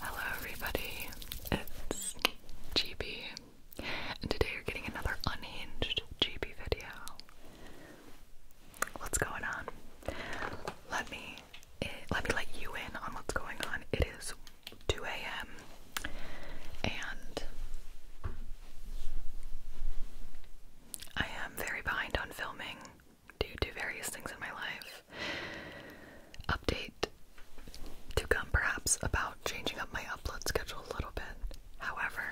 Hello, everybody. It's GB, and today you're getting another unhinged GB video. What's going on? Let me eh, let me let you in on what's going on. It is 2 a.m. and I am very behind on filming due to various things in my life update to come, perhaps, about changing up my upload schedule a little bit. However,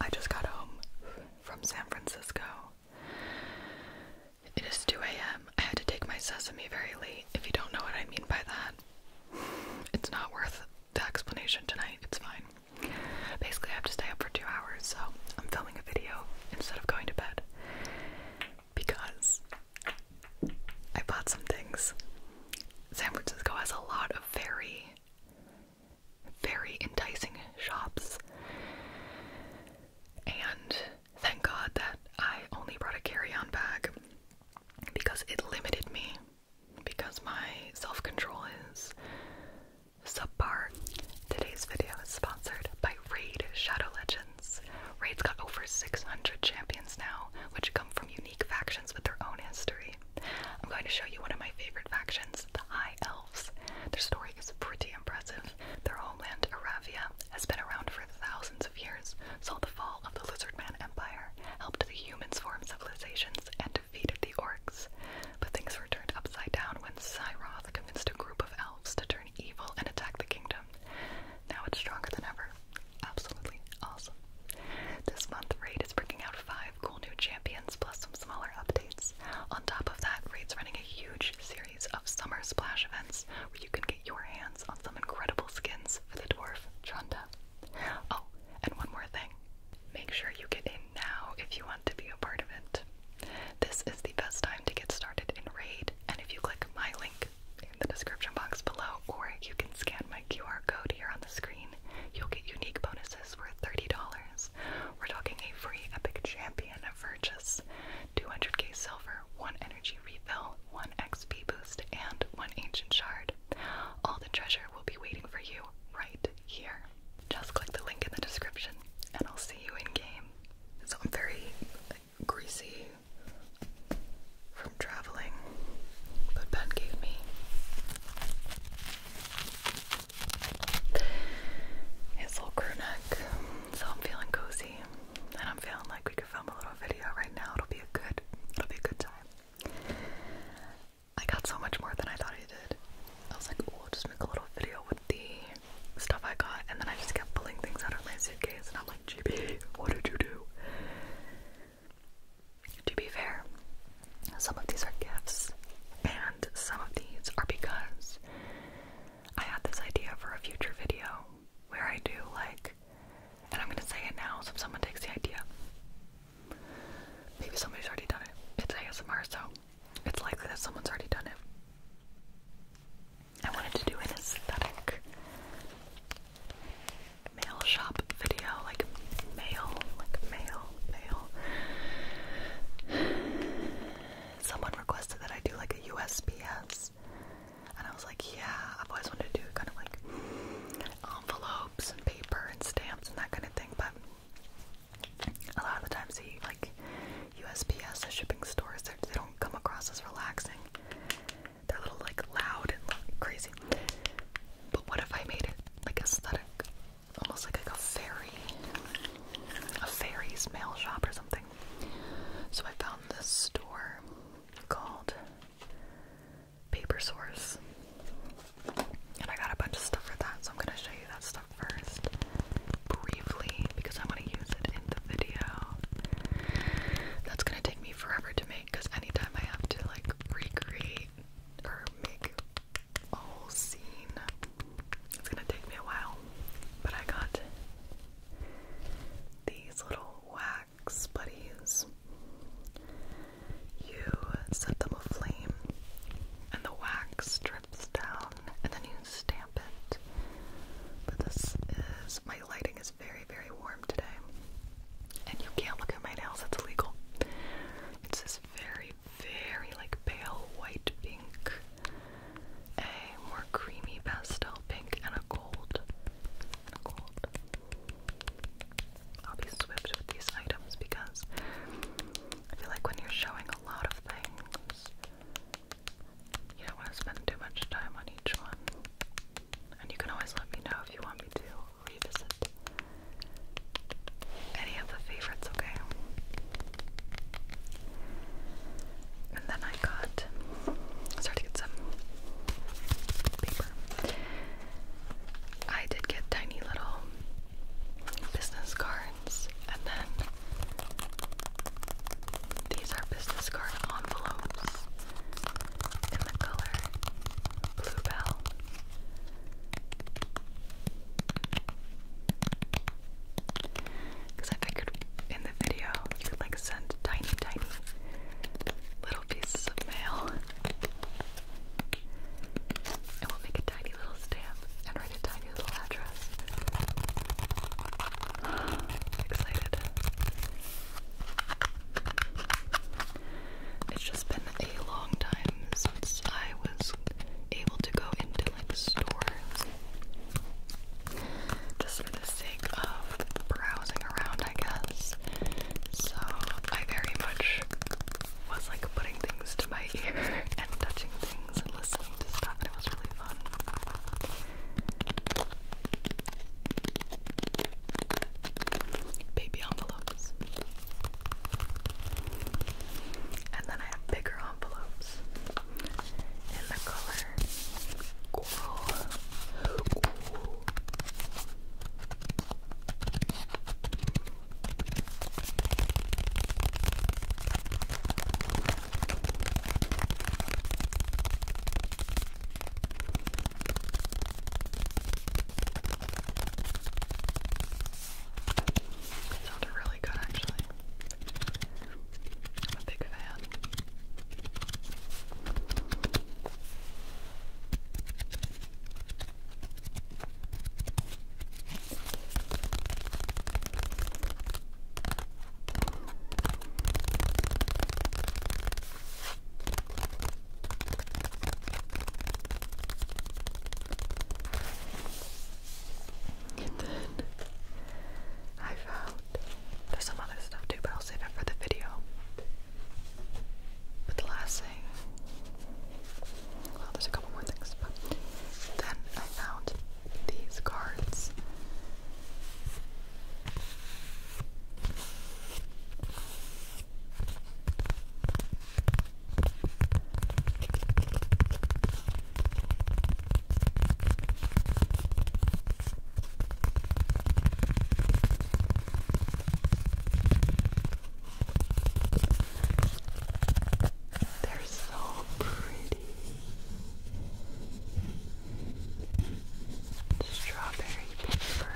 I just got home from San Francisco. It is 2 a.m. I had to take my sesame very late. If you don't know what I mean by that, it's not worth the explanation tonight. It's fine. Basically, I have to stay up for two hours, so I'm filming a video instead of going to bed because I bought some things. San Francisco has a lot of very, very enticing shops. And thank God that I only brought a carry on bag because it limited me. Because my self control is subpar today's video is sponsored by Raid Shadow Legends. Raid's got over 600 champions now, which come from unique factions with their own history. I'm going to show you one of my favorite factions, the High Elves. Their story is pretty impressive. Their homeland, Aravia, has been around for thousands of years, saw the fall of the Lizardman Empire, helped the humans form civilizations, and defeated the orcs. But things were turned upside down when Cyroth convinced a group of elves to evil and attack the kingdom. Now it's stronger than ever. Absolutely awesome. This month, Raid is bringing out five cool new champions plus some smaller updates. On top of that, Raid's running a huge series of summer splash events where you can get your hands on some incredible skins for the dwarf Trunda. Oh, and one more thing. Make sure you get in now if you want to be a part of it. This is the best time to get started in Raid, and if you click my link in the description box below, or you can scan my QR code here on the screen, you'll get unique bonuses worth $30. We're talking a free Epic Champion of Virtus, 200k silver, 1 energy refill, 1 XP boost, and 1 ancient shard. All the treasure will be waiting for you right here. Just click the link in the description, and I'll see you in game. It's all very greasy from traveling, but Ben gave me his little crew So I'm feeling cozy, and I'm feeling like we could film a little video right now. It'll be a good, it'll be a good time. I got so much more than I thought I did. I was like, oh, will just make a little video with the stuff I got, and then I just kept pulling things out of my suitcase, and I'm like, GB, what did you do? To be fair, some of these are gifts, and some of these are because I had this idea for a future video where I do like, and I'm gonna say it now so if someone takes the idea. Maybe somebody's already done it. It's ASMR, so it's likely that someone's already done it. I wanted to do an aesthetic mail shop video, like mail, like mail, mail. Someone requested that I do like a USPS, and I was like, yeah, I've always wanted to do kind of like envelopes and paper and stamps and that kind of thing, but a lot of the times, he like USPS, the shipping stores, they don't come across as relaxing. They're a little like loud and crazy. But what if I made it like aesthetic? Almost like, like a fairy, a fairy's mail shop or something. So I found this store called Paper Source. And I got a bunch of stuff for that, so I'm gonna show you that stuff first, briefly, because I'm gonna use it in the video. That's gonna take me forever to make, because anytime I have to like recreate or make a whole scene, it's gonna take me a while. But I got these little wax buddies. You set them aflame, and the wax drips down, and then you stamp but this is my lighting is very, very warm today. And you can't look at my nails, that's illegal. It's this very, very like pale white pink, a more creamy pastel pink, and A gold. I'll be swift with these items because I feel like when you're showing a lot of things, you don't want to spend too much time on each one. And you can always let me know if you want me to revisit any of the favorites, okay? And then I got, I to get some paper. I did get tiny little business cards and then these are business card envelopes in the color Bluebell. Because I figured in the video you could like send tiny, tiny little pieces of mail. And we'll make a tiny little stamp write tiny little address. Excited. It's just been a long time since I was able to go into like stores. Just for the sake of browsing around, I guess. So I very much was like putting things to my ear and touching things and listening to stuff, and it was really fun. Baby envelopes. And then I have bigger envelopes in the color coral. It sounded really good actually. big fan. And then I found there's some other stuff too, but I'll save it for the video. But the last thing, well, there's a couple more things, but then I found these cards. They're so pretty strawberry paper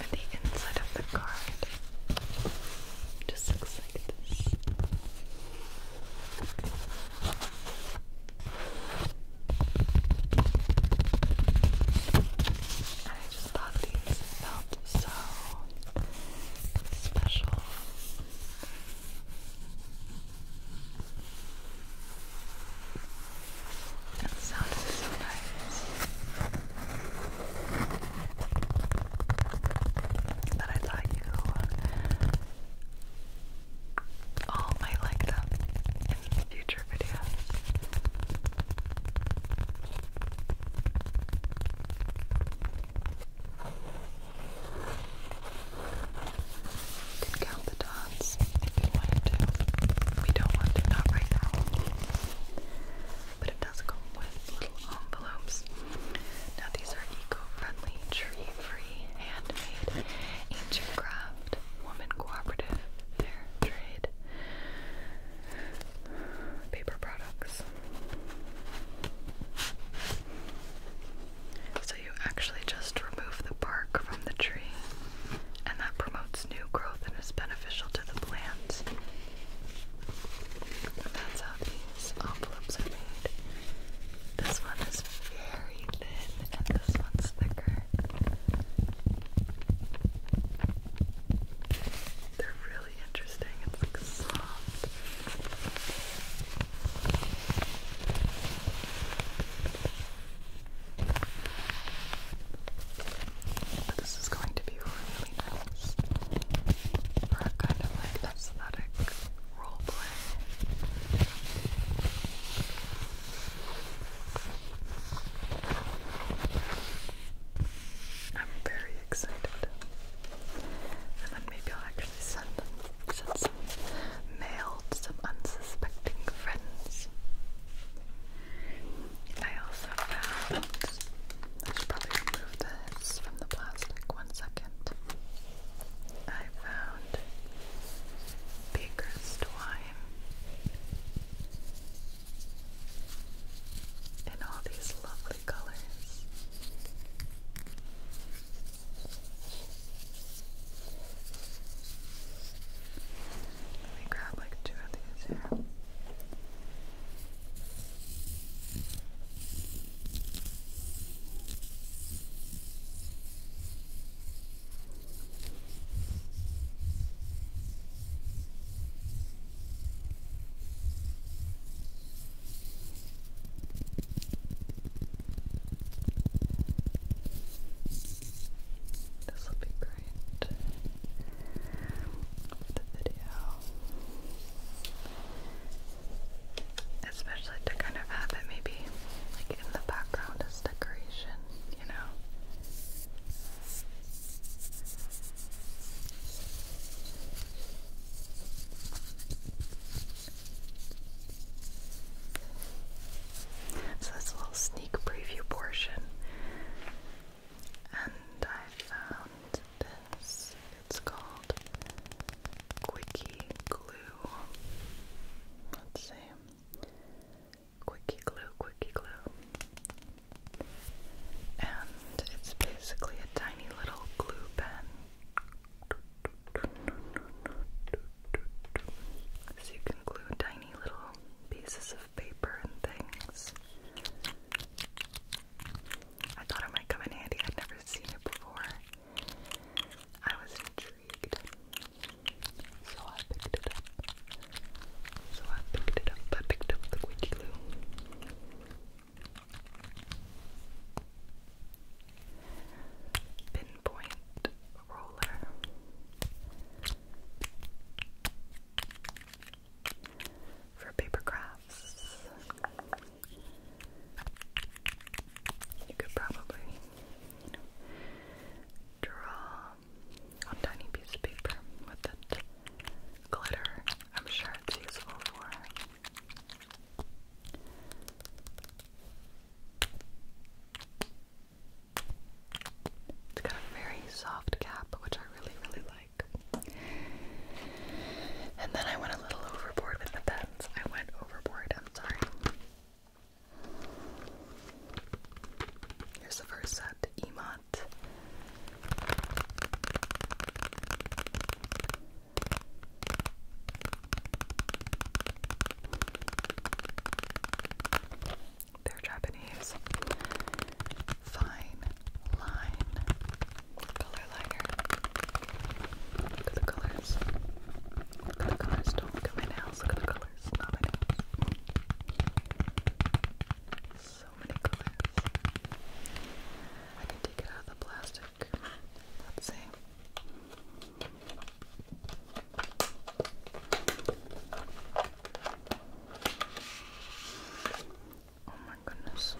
and the inside of the card just looks like this. And I just thought these felt so special. That sounds so nice that I thought you all might like them in future videos can count the dots if you wanted to. We don't want to, right now. But it does come with little envelopes. Now these are eco-friendly, tree-free, handmade, ancient craft, woman cooperative, fair trade, paper products. So you actually just remove the bark from the tree, and that promotes new growth and is beneficial to the plants. that's how these envelopes are made. This one is very thin, and this one's thicker. They're really this is going to be really nice for a kind of like aesthetic role I'm very excited. And then maybe I'll actually actually sent some mail to some unsuspecting friends. I also found I should probably remove this from the plastic one second. I found Baker's Twine in all these lovely colors. Let me grab like two of these here. This will be great for the video. Especially to kind of have it maybe like in the background as decoration, you know? So that's a little sneak preview portion. And I found this. It's called Quickie Glue. Let's see. Quickie Glue, Quickie Glue. And it's basically a tiny little glue pen. So you can glue tiny little pieces of paper and things. I thought it might come in handy. I'd never seen it before. I was intrigued. So I picked it up. So I picked it up. I picked up the glue pinpoint roller. For paper crafts, you could probably, draw on tiny piece of paper with it. Glitter, I'm sure it's useful for it's got a very soft cap, which I really, really like. And then I went a little overboard with the pens. I went overboard, I'm sorry. Here's the first set, Emot. They're Japanese. Fine line color liner. Look at the colors. Look at the colors. look at my nails. Look at the colors. So many colors. I can take it out of the plastic Let's see. Oh my goodness.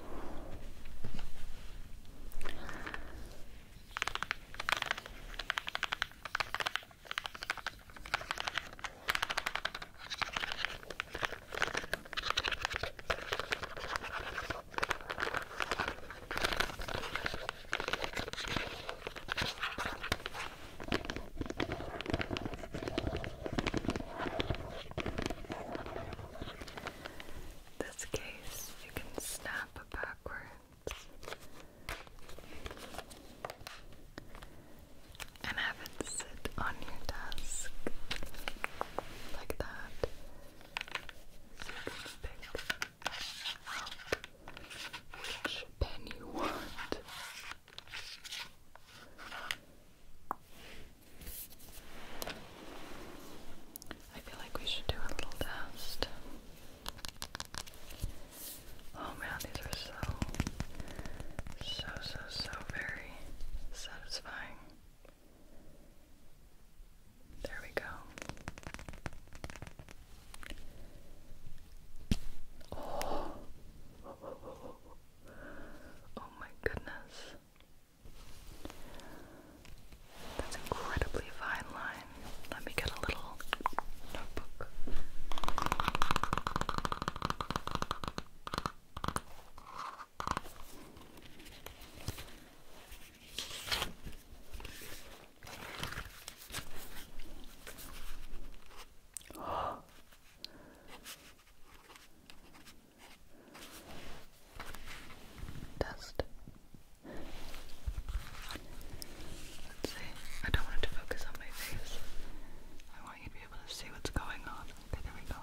This case you can snap backwards and have it sit on your desk like that. So you which pen you want. I feel like we should do a little test. Oh man, these are so, so, so, so very satisfying. There we go. Oh, oh my goodness. That's incredibly fine line. Let me get a little notebook. Dust. Let's see. I don't want it to focus on my face. I want you to be able to see what's going on. Okay, there we go.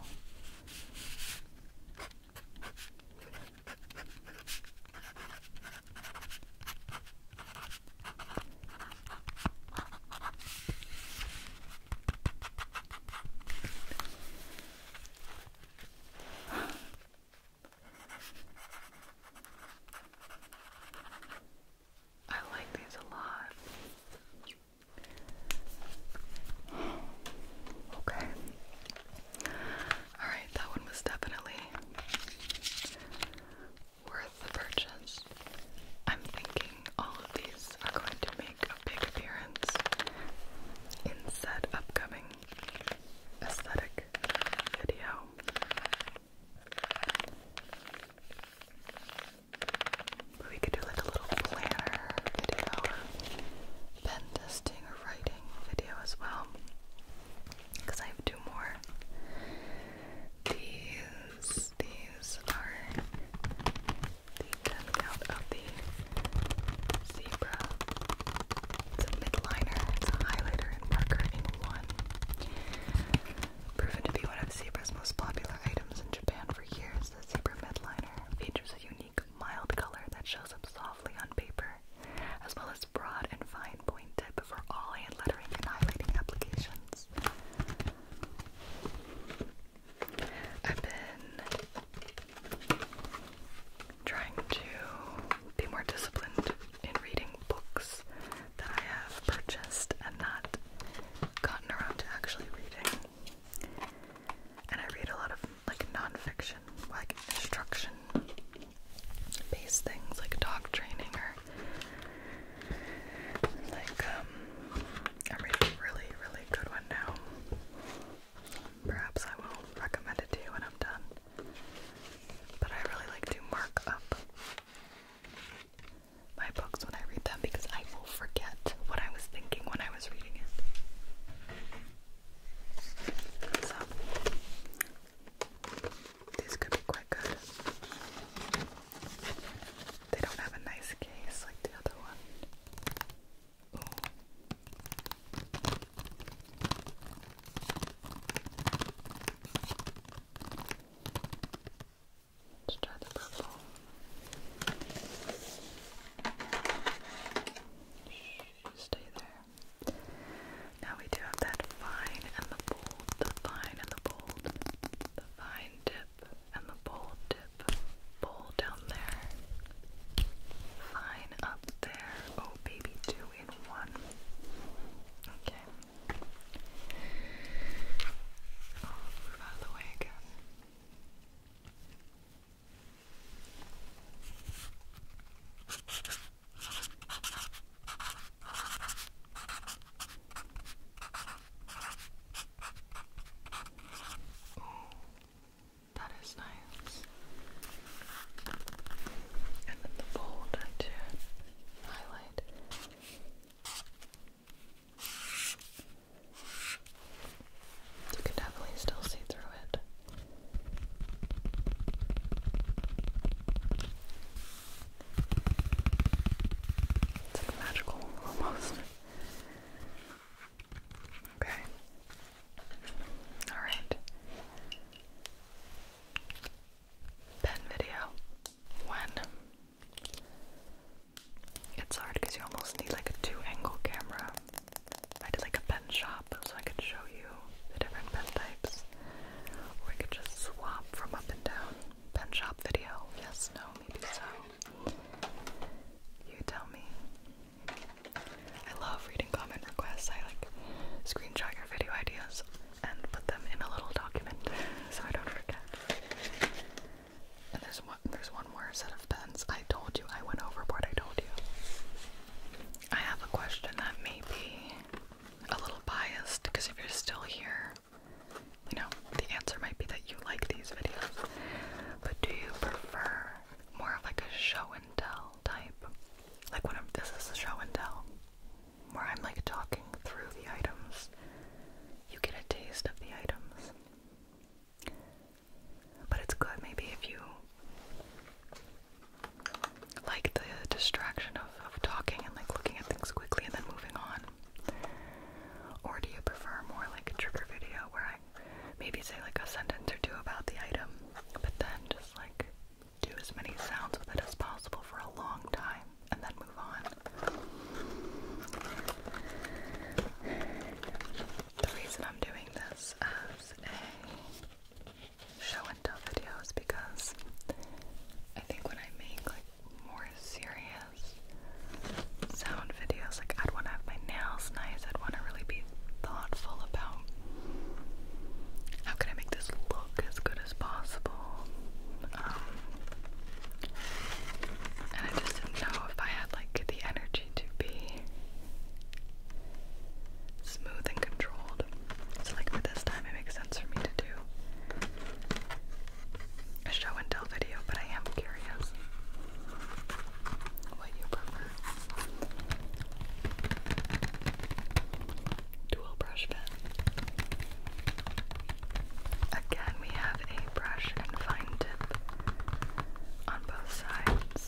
I like these a lot. Okay. Alright, that one was definitely worth the purchase. I'm thinking all of these are going to make a big appearance in said upcoming aesthetic video. we could do like a little planner video or pen or writing video as well because I have two more. These these are the 10 count of the zebra. It's a midliner, it's a highlighter and marker in one. Proven to be one of zebra's most popular items in Japan for years, the zebra midliner features a unique mild color that shows up softly on paper, as well as broad and fine point tip for all hand lettering and highlighting applications. I've been trying to be more disciplined in reading books that I have purchased and not gotten around to actually reading. And I read a lot of like nonfiction, like instruction based things like dog training or like um I'm reading a really, really good one now. Perhaps I will recommend it to you when I'm done. But I really like to mark up my books when I read them because I will forget what I was thinking when I was reading it. So these could be quite good. They don't have a nice case like the other one. Let's try the purple stay there. Now we do have that fine and the bold, the fine and the bold, the fine tip and the bold tip. Bold down there. Fine up there. Oh, baby, two in one. Okay. move out of the way again. That is nice. And then the bold to highlight. You can definitely still see through it. It's like magical almost. Okay. Alright. Pen video. When? It's hard because you almost need like a two angle camera. I did like a pen shop so I could show you the different pen types. Or we could just swap from up and down. Pen shop video. Yes, no, maybe so. You tell me. I love reading comment requests. I like screenshot your video ideas and put them in a little document so I don't forget. And there's one, there's one more set of pens. I told you I went overboard. I told you. I have a question that may be a little biased because if you're still here, you know the answer might be that you like these videos. But do you prefer more of like a show and tell type? Like when I'm this is a show and tell where I'm like talking through the items. You get a taste of the items. But it's good maybe if you like the distraction of, talking and like looking at things quickly and then moving on. Or do you prefer more like a trigger video where I maybe say like a sentence or two about the item, but then just like do as many sounds with it as possible for a long time and then move on? The reason I'm doing this as a show and tell videos because I think when I make like more serious sound videos, like I'd want to have my nails nice, I'd want to really be thoughtful about how can I make this look as good as possible. Um, and I just didn't know if I had like the energy to be smooth and controlled. So, like for this time, it makes sense for me to do a show and tell video, but I am curious what you prefer. Dual brush pen. Again, we have a brush and fine tip on both sides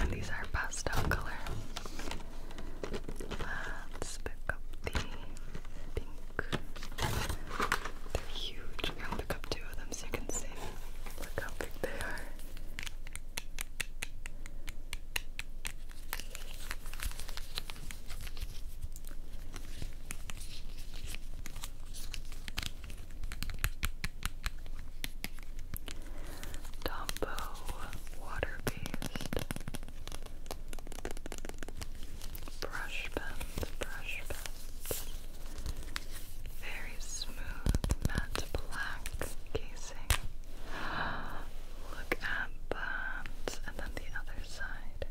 and these are pastel color. Let's pick up the pink. They're huge. pick up two of them so you can see. Look how big they are. Tombow water based brush pens, brush pens, very smooth matte black casing. Look at that, and then the other side,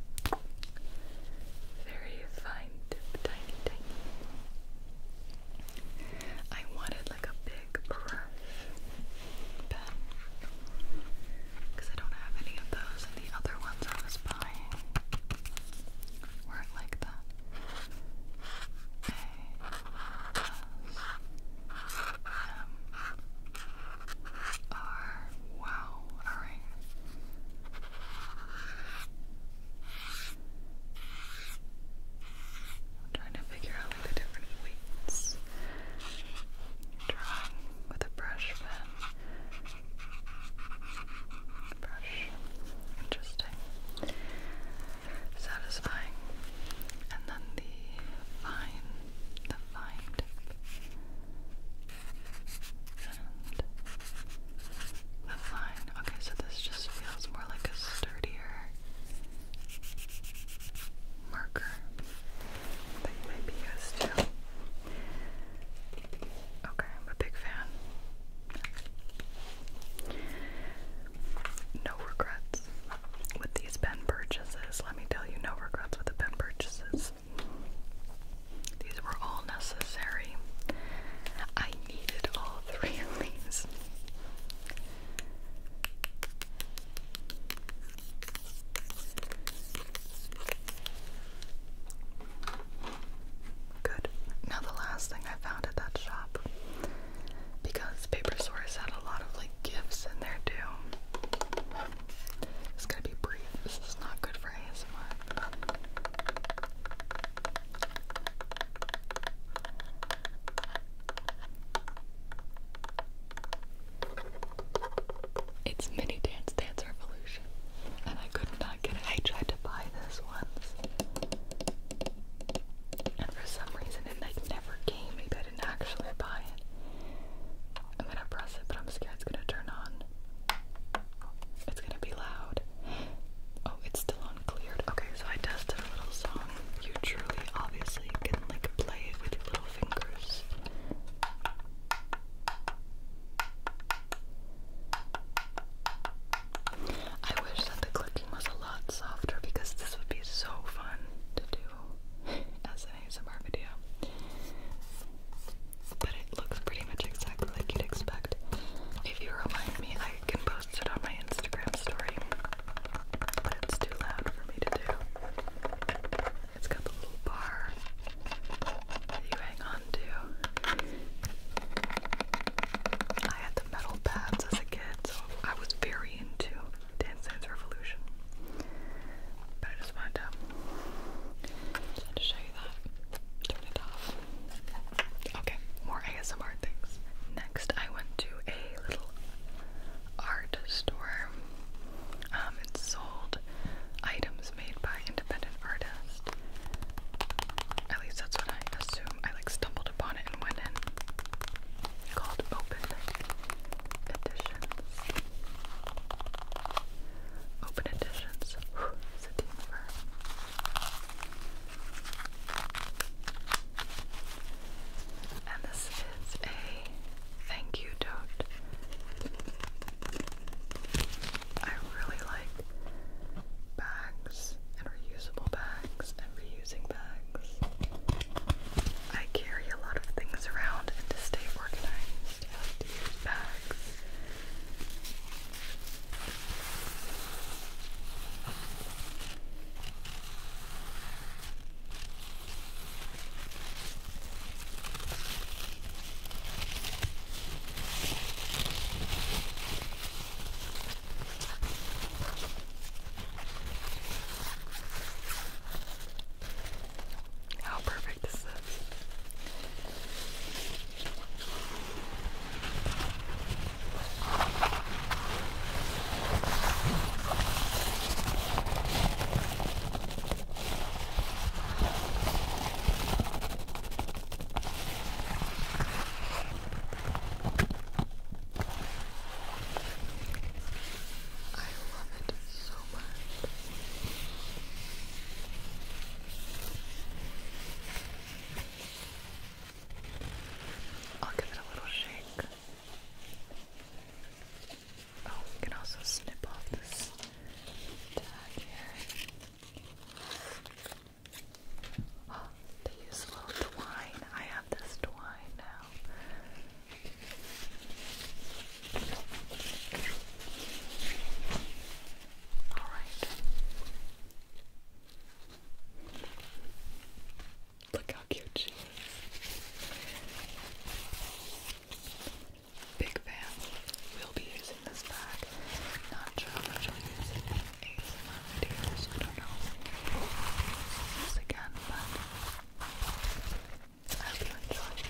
very fine tip, tiny, tiny. I wanted like a big brush because I don't have any of those, and the other ones I was buying weren't like that. A S M R. Wow. Alright. I'm trying to figure out like, the different weights. Drawing with a brush pen. Brush. Interesting. Satisfying. And then the fine, the fine And the fine Okay, so this just feels more like a sturdier marker that you might Okay, I'm a big fan. No regrets with these pen purchases. Let me tell you, no regrets with the pen purchases. These were all necessary. I needed all all three of these. Good. Now the last thing I found at that shop, because Paper Source had a lot of like gifts in there too. It's gonna be brief. This is not good for ASMR. It's Mini Dance Dance Revolution, and I could not get it. I tried to buy this once, and for some reason it like never came. Maybe I didn't actually buy it. I'm gonna press it, but I'm scared it's gonna turn on. It's gonna be loud. Oh, it's still uncleared. Okay, so I tested a little song. You truly, obviously, can like play it with your little fingers. I wish that the clicking was a lot softer because this would be so fun to do as an ASMR video. But it looks pretty much exactly like you'd expect. If you remind me, I can posted on my Instagram story, but too loud for me to do. It's got the little bar that you hang on to. I had the metal pads as a kid, so I was very into Dance Dance Revolution. But I just wanted to, just wanted to show you that. Turn it off. Okay, more ASMR things. Next, I went to a little art store. Um, it sold items made by independent artists. At least that's what I assume. I like stumbled upon it and went in. Called Open Editions. Open Editions. Whew, it's and this is a thank you tote. I really like bags and reusable bags and reusing bags. I carry a lot of things around and to stay organized, I use bags. How perfect is this? I love it so much. I'll give it a little shake. Oh, we can also snip off this tag here. Oh, they use little twine. I have this twine now. All right. Look how cute Big fan. We'll be using this bag. Not sure how much we'll I don't know. This again, but hope you enjoy.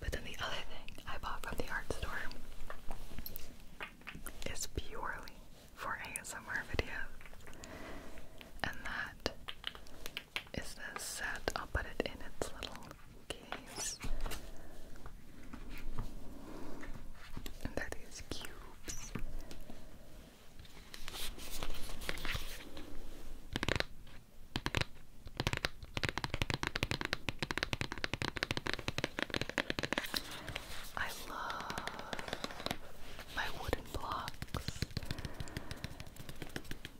But then the other thing I bought from the art store is purely for ASMR video, and that is this set. I'll put it in its little case. And they cubes. I love my wooden blocks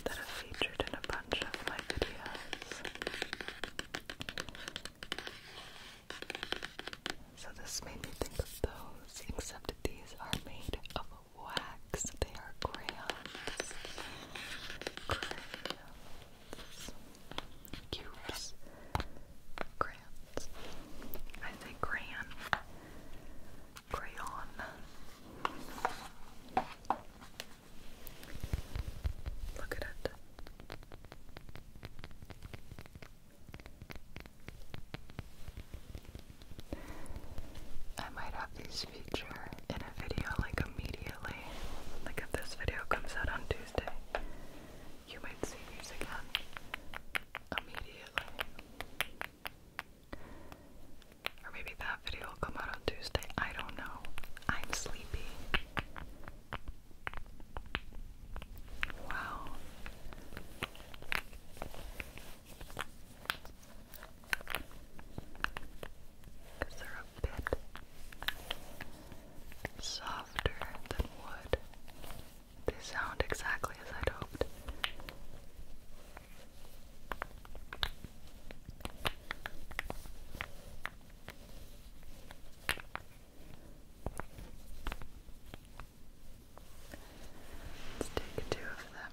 that are featured in a bunch of my videos. So this made me think of those, except these are made of wax. They are crayons. crayons shells, cubes, crayons. I say crayon. Crayon. Look at it. I might have these feature in a video like immediately. Like if this video comes out on Tuesday, you might see these again immediately. Or maybe that video will come out on Tuesday. I don't know. I'm sleepy. Wow because they're a bit softer than wood. They sound exactly as I'd hoped. Let's take two of them.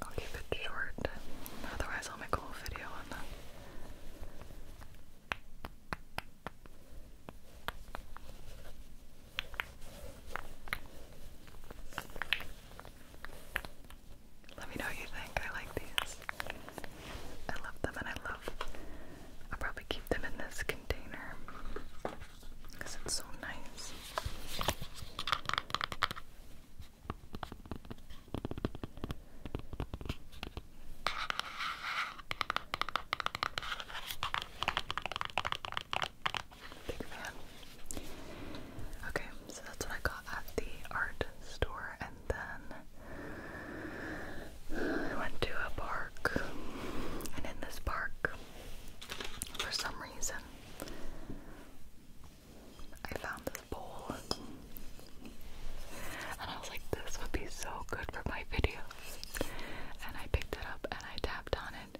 I'll keep it short, otherwise, I'll make a whole video on that. Let me know what you think. I like these. I love them and I love, I'll probably keep them in this container because it's so nice. Big fan. Okay, so that's what I got at the art store then I went to a park. And in this park, for some reason, I found this bowl. And I was like, this would be so good for my videos. And I picked it up and I tapped on it.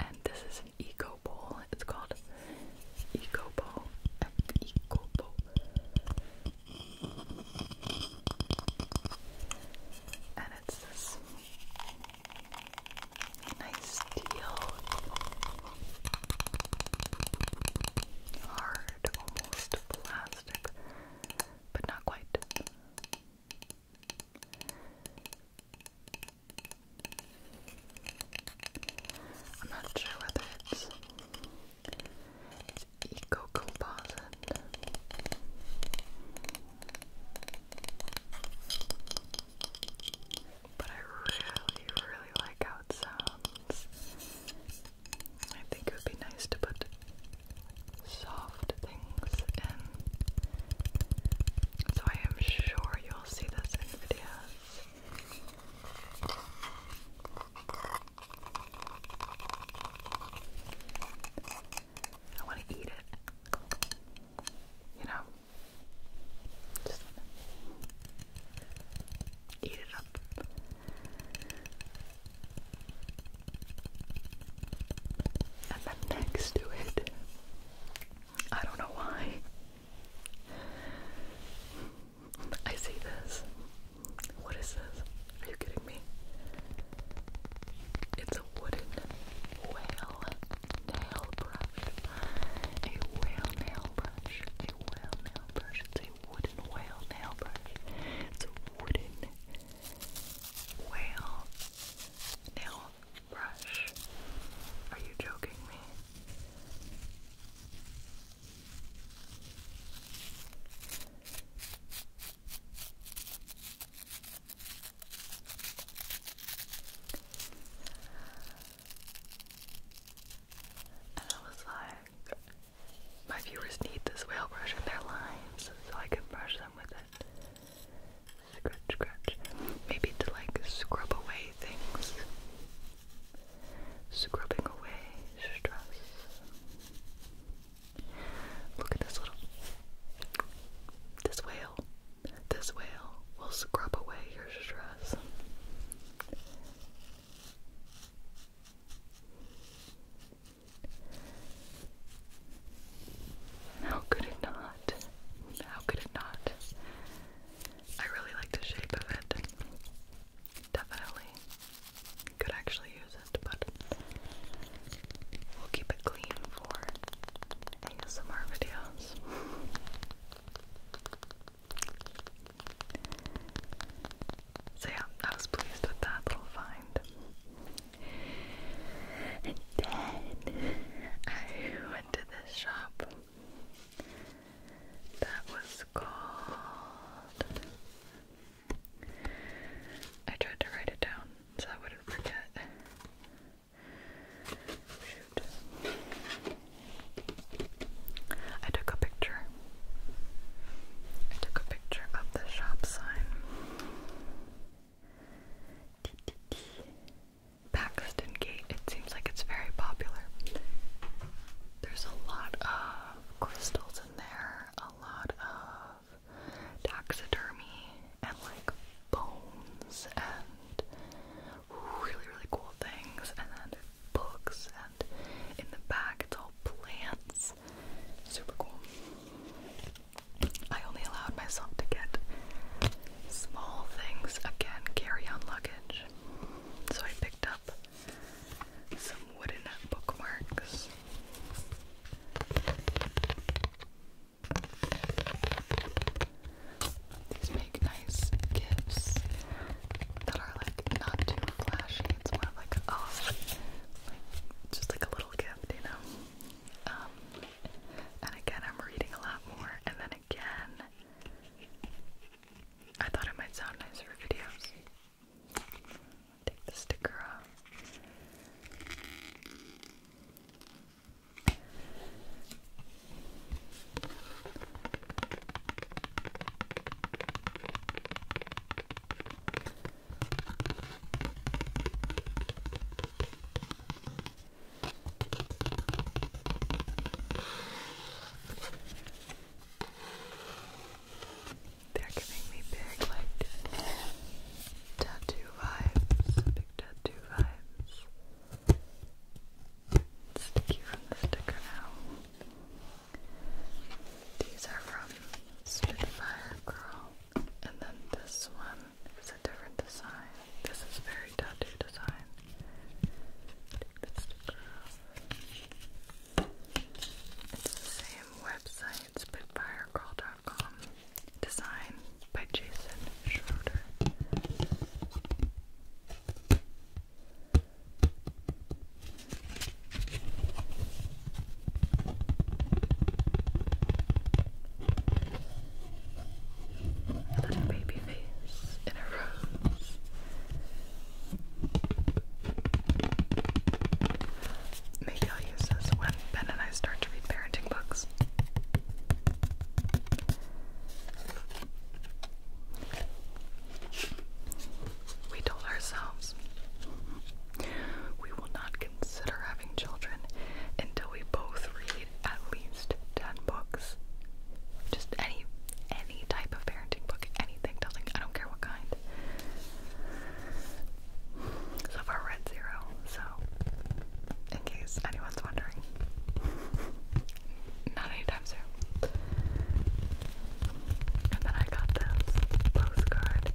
And this is an eco bowl. It's called Eco Bowl. Eco Bowl. And it's this nice teal, hard, almost plastic, but not quite. I'm not sure whether it's Eco Composite. But I really, really like how I think it would be nice to put soft things in. So I am sure you'll see this in videos. I want to eat it. You know? Just eat it up. And then next to it, I don't know why. I see this. What is this? Are you kidding me? It's a wooden whale nail brush. A whale nail brush. A whale nail brush. It's a wooden whale nail brush. It's a wooden whale nail brush. Are you joking me? And I was like, my viewers need this whale brush in their lives so I can brush them with it. Scratch, scratch. Maybe to like scrub away things. Scrubbing away stress. Look at this little. This whale. This whale will scrub away your stress. How could it not? How could it not? I really like the shape of it definitely could actually use it, but we'll keep it clean for ASMR videos. So yeah, I was pleased with that little find. And then I went to this shop that was called I tried to write it down so I wouldn't forget. I took a picture. I took a picture of the shop sign. Paxton Gate. It seems like it's very popular. There's a lot of crystals there, a lot of taxidermy and like bones and really, really cool things, and then books, and in the back, it's all plants. Super cool. I only allowed myself to get small things again, carry on luggage. So I picked up. Some wooden bookmarks. These make nice gifts that are like not too flashy. It's more oh, like just like a little gift, you know. Um, and again, I'm reading a lot more, and then again, I thought it might sound nice for videos. Take the sticker off. They're giving me big, like, tattoo vibes. Big tattoo vibes. Sticky from the sticker now. These are from Spitfire Girl. And then this one is a different design. This is very tattoo design. Take the it's the same website, spitfiregirl.com. Design by Jason Schroeder. little baby face in a rose. Maybe I'll use this when Ben and I start to read parenting books. We told ourselves we will not consider having children until we both read at least 10 books. Just any, any type of parenting book, anything, I don't care what kind. So far zero, so in case anyone's wondering. Not anytime soon. And then I got this postcard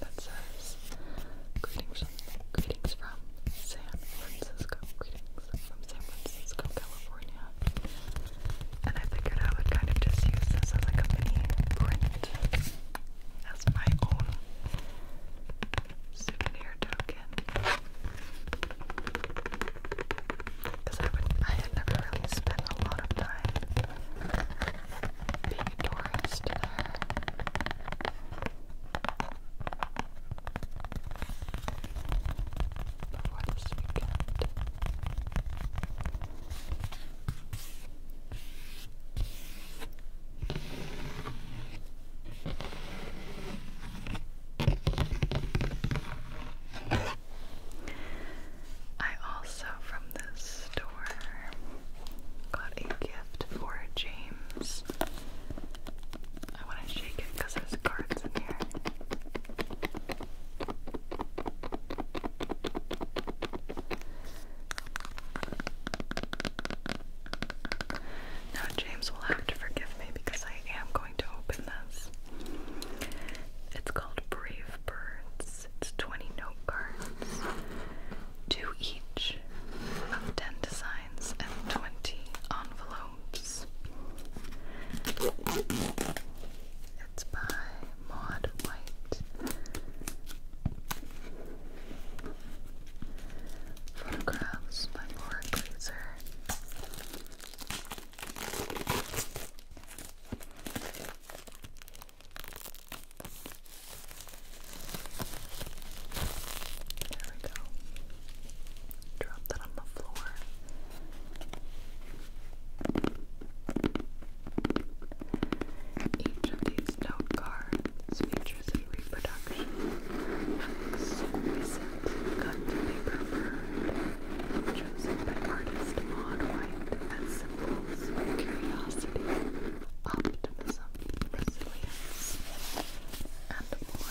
that says greetings from San Francisco from San Francisco, California. And I figured I would kind of just use this as like a mini print as my own souvenir token. Because I, I never really spent a lot of time being tourist I also, from this store, got a gift for James I want to shake it because there's cards in here. Now, James will have to forgive me because I am going to open this. It's called Brave Birds. It's 20 note cards, two each of 10 designs and 20 envelopes. Globes. It's by Maud White. Photographs by Laura Glazer. There we go. Drop that Each of these note cards features a reproduction of exquisite cut paper bird chosen by artist Maud White as symbols of curiosity, optimism, resilience, and more.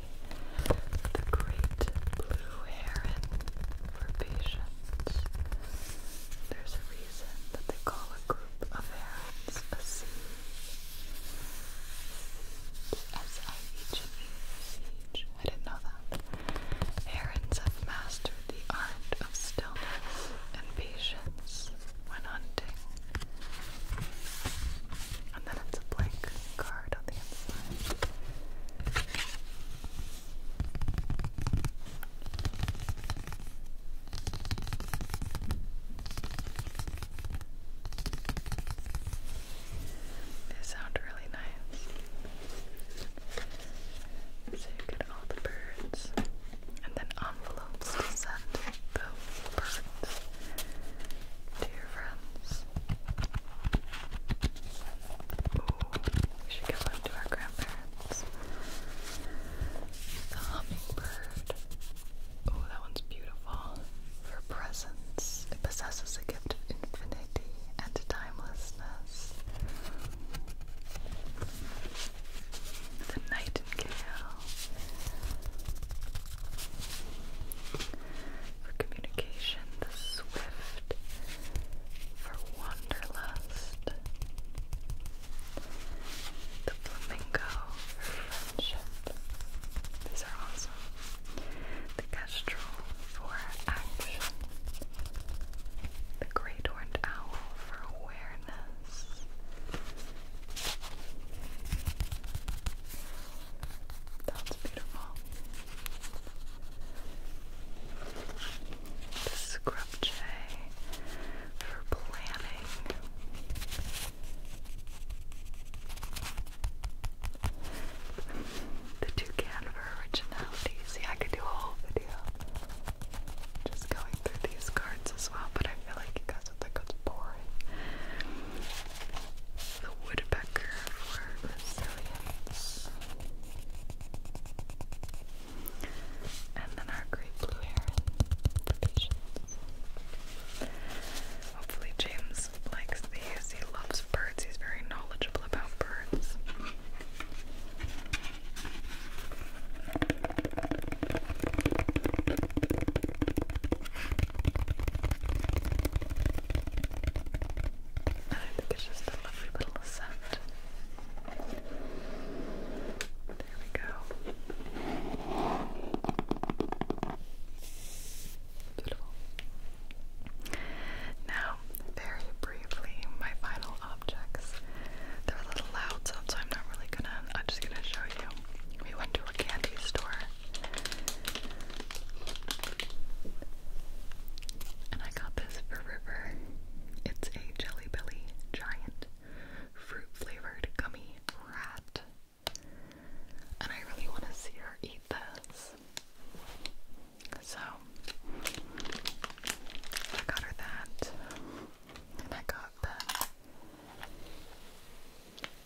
the great blue heron for patience. There's a reason that they call a group of herons a siege. S-I-E-G-E, siege. I didn't know that. Herons have mastered the art of stillness and patience when hunting. And then it's a blank card on the inside. They sound really nice. So you get all the birds and then envelopes to the birds to we should give one to our grandparents. The hummingbird. Oh, that one's beautiful. For presence, it possesses a gift of infinity and timelessness. The nightingale for communication, the swift for wanderlust, the flamingo for friendship. These are awesome. The kestrel for action, the great horned owl for awareness. That's beautiful. The scrub for planning. The toucan for originality. See, I could do a whole video just going through these cards as well, but I feel like you guys would think it's boring. The woodpecker for resilience. And then our great blue heron Hopefully, James likes these. He loves birds, he's very knowledgeable about birds. And I think it's just a lovely little scent. There we go. Beautiful. Now, very briefly, my final objects. They're a little loud, so I'm not really gonna. I'm just gonna show you. We went to a candy store and I got this for River. It's a Jelly Belly Giant Fruit Flavored Gummy Rat. And I really want to see her eat this. So, I got her that. And I got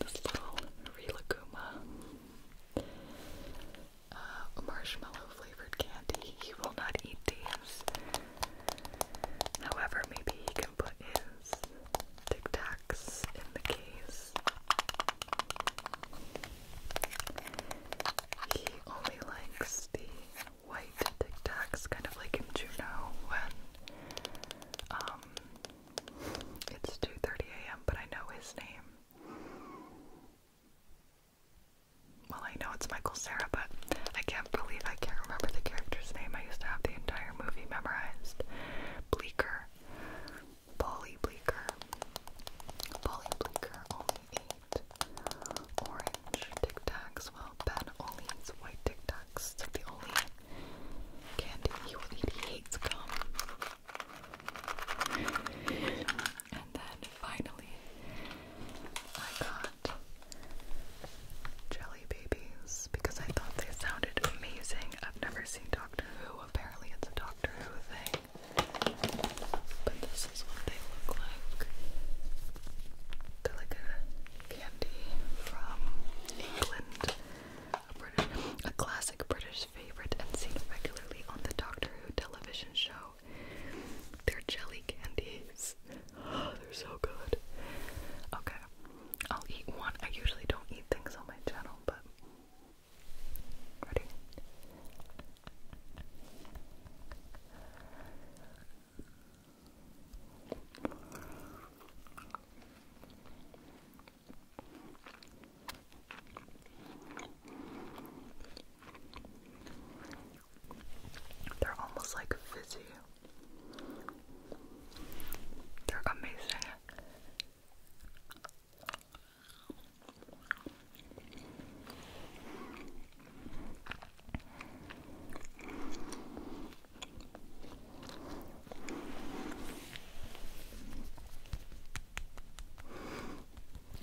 This little Rilakuma. Uh, marshmallow flavored candy. He will not eat these. However, maybe he can put his Tic Tacs in the case. He only likes the white Tic Tacs, kind of like in Juno when um, it's 2.30 a.m., but I know his name. Well, I know it's Michael Sarah, but I can't believe I can't remember the character's name. I used to have the entire movie memorized. Bleecker. Polly Bleecker. Polly Bleecker only ate orange Tic Tacs while Ben only eats white Tic Tacs. It's the only candy he will eat. He hates gum and then finally, I got Jelly Babies because I thought they sounded amazing. I've never seen Doctor Who, apparently, it's a Doctor Who thing. But this is what they look like. They're like a candy from England, a a classic British favorite and seen regularly on the Doctor Who television show. They're jelly candies. Oh, they're so good. Okay, I'll eat one. I usually don't eat things on my channel, but. Ready? They're almost like fizzy. They're amazing.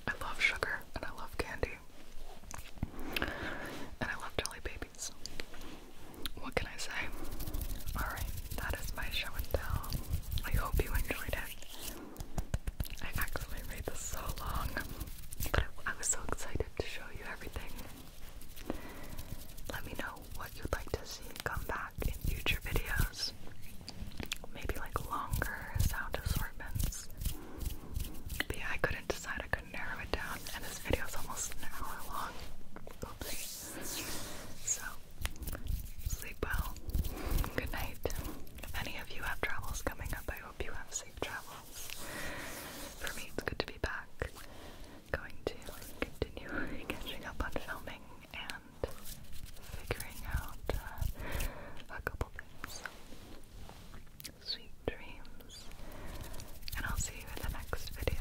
I love sugar and I love candy. And I love jelly babies. What can I say? Alright, that is my show and tell. I hope you enjoyed it. I actually made this so long, but I, was so excited to show you everything. Let me know what you'd like to see come back in future videos maybe like longer sound assortments. But I couldn't decide, I couldn't narrow it down, and this video is almost an hour long. So, sleep well. Good night. If any of you have travels coming up, I hope you have safe travels. For me, it's good to be back. Going to continue catching up on filming and figuring out uh, a couple things. Sweet dreams, and I'll see you in the next video.